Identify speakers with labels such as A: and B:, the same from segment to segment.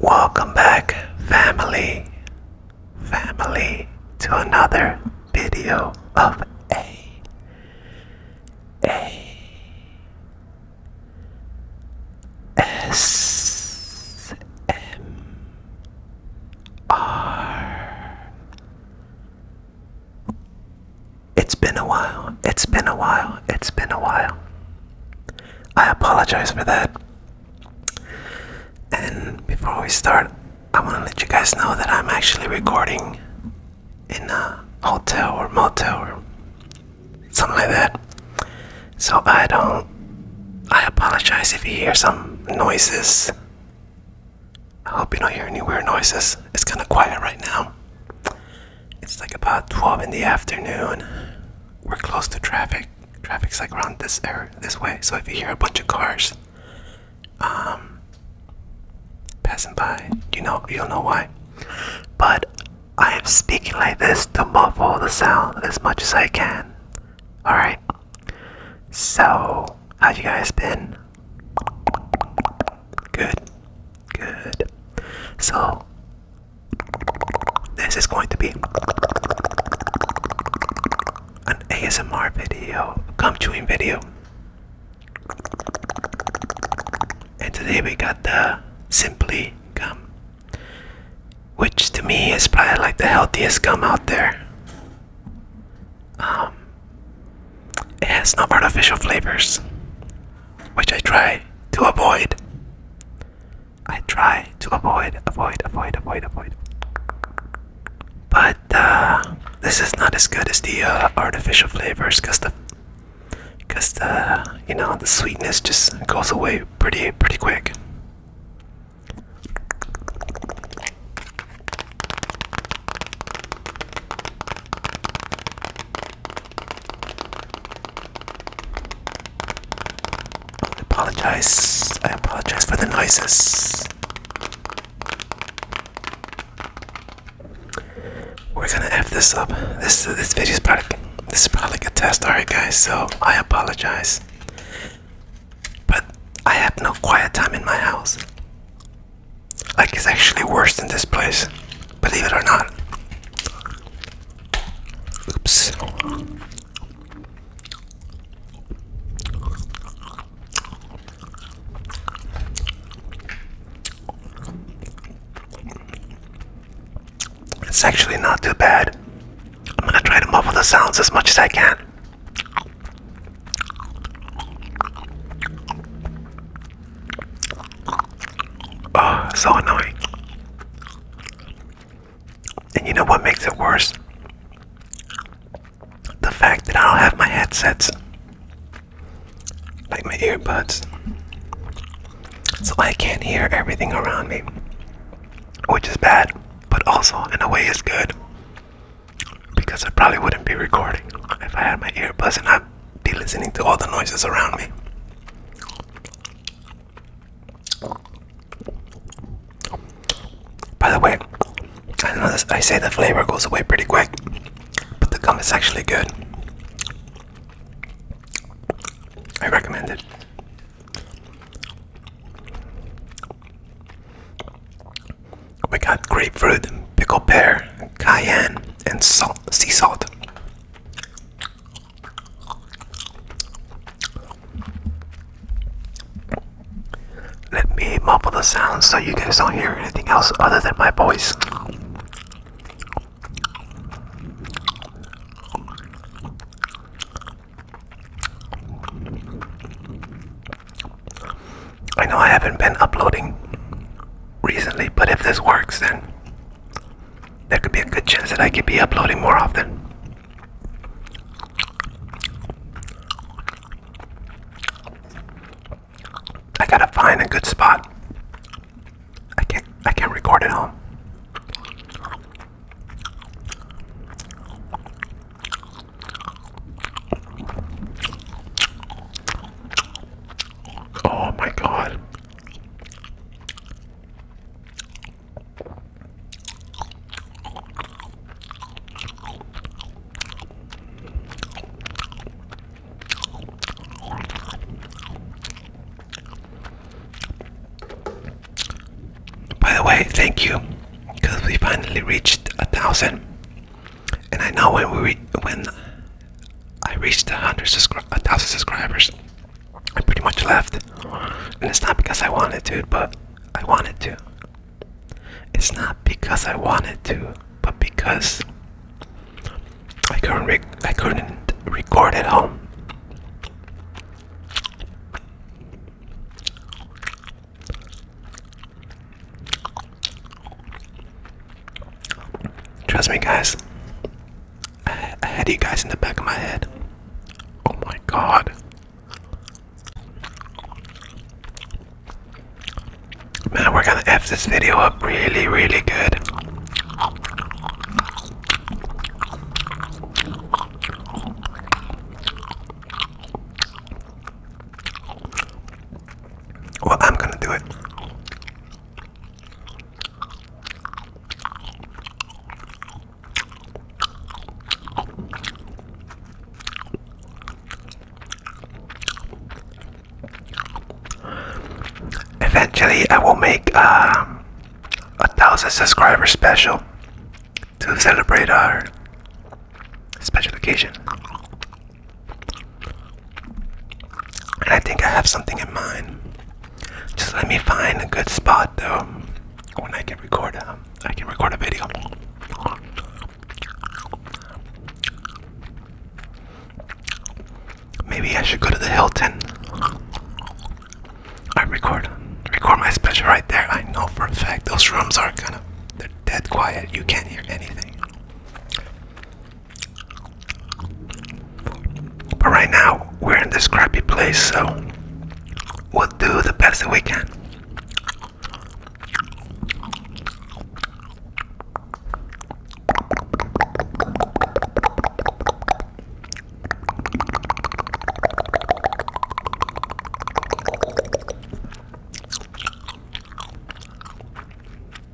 A: Welcome back, family, family, to another video of A. A. S. M. R. It's been a while. It's been a while. It's been a while. I apologize for that. And before we start, I want to let you guys know that I'm actually recording in a hotel or motel or something like that. So I don't. I apologize if you hear some noises. I hope you don't hear any weird noises. It's kind of quiet right now. It's like about 12 in the afternoon. We're close to traffic. Traffic's like around this area, this way. So if you hear a bunch of cars um, passing by, you know you'll know why. But I am speaking like this to muffle the sound as much as I can. Alright? So, how you guys been? Good. Good. So, this is going to be an ASMR video, gum chewing video. And today we got the Simply Gum which to me is probably like the healthiest gum out there. Um, it has no artificial flavors, which I try to avoid. I try to avoid, avoid, avoid, avoid, avoid. But uh, this is not as good as the uh, artificial flavors because the because the you know the sweetness just goes away pretty pretty quick. I apologize. I apologize for the noises. We're gonna f this up. This this video is probably this is probably a test, alright, guys. So I apologize, but I have no quiet time in my house. Like it's actually worse than this place, believe it or not. Oops. It's actually not too bad. I'm gonna try to muffle the sounds as much as I can. Oh, so annoying. And you know what makes it worse? The fact that I don't have my headsets like my earbuds, so I can't hear everything around me, which is bad, but also in a way is good because I probably wouldn't be recording if I had my earbuds and I'd be listening to all the noises around me. By the way, I know this, I say the flavor goes away pretty quick, but the gum is actually good. I recommend it. We got grapefruit, pickle, pear, cayenne, and salt, sea salt. Let me muffle the sound so you guys don't hear anything else other than my voice. I know I haven't been uploading recently, but if this works, then there could be a good chance that I could be uploading more often. I gotta find a good spot. I can't I can't record at home. Oh my god. By the way, thank you, because we finally reached a thousand, and I know when we when I reached a hundred a thousand subscribers, I pretty much left, and it's not because I wanted to, but I wanted to. It's not because I wanted to, but because I couldn't I couldn't record at home. Trust me, guys. I, I had you guys in the back of my head. Oh my god. Man, we're gonna F this video up really, really good. Well, I'm gonna do it. Eventually, I will make um, a thousand subscribers special to celebrate our special occasion. And I think I have something in mind. Just let me find a good spot though when I can record uh, I can record a video. Maybe I should go to the Hilton. I record record my special right there. I know for a fact those rooms are kind of they're dead quiet. You can't hear anything. But right now, we're in this crappy place, so we'll do the best that we can.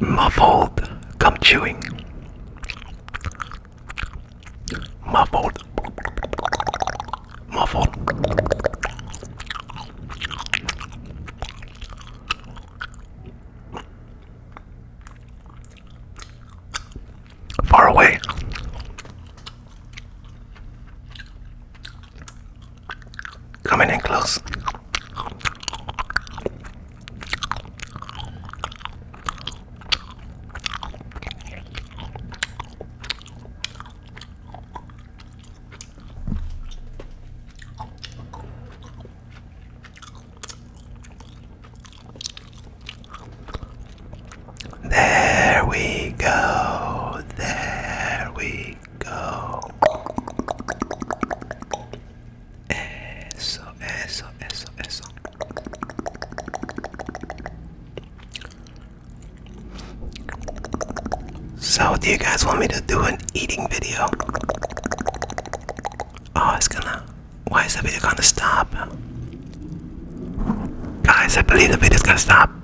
A: muffled come chewing. Muffled. Muffled. Far away. Coming in close. There we go. There we go. Eso, eso, eso, eso. So, do you guys want me to do an eating video? Oh, it's gonna. Why is the video gonna stop? Guys, I believe the video's gonna stop.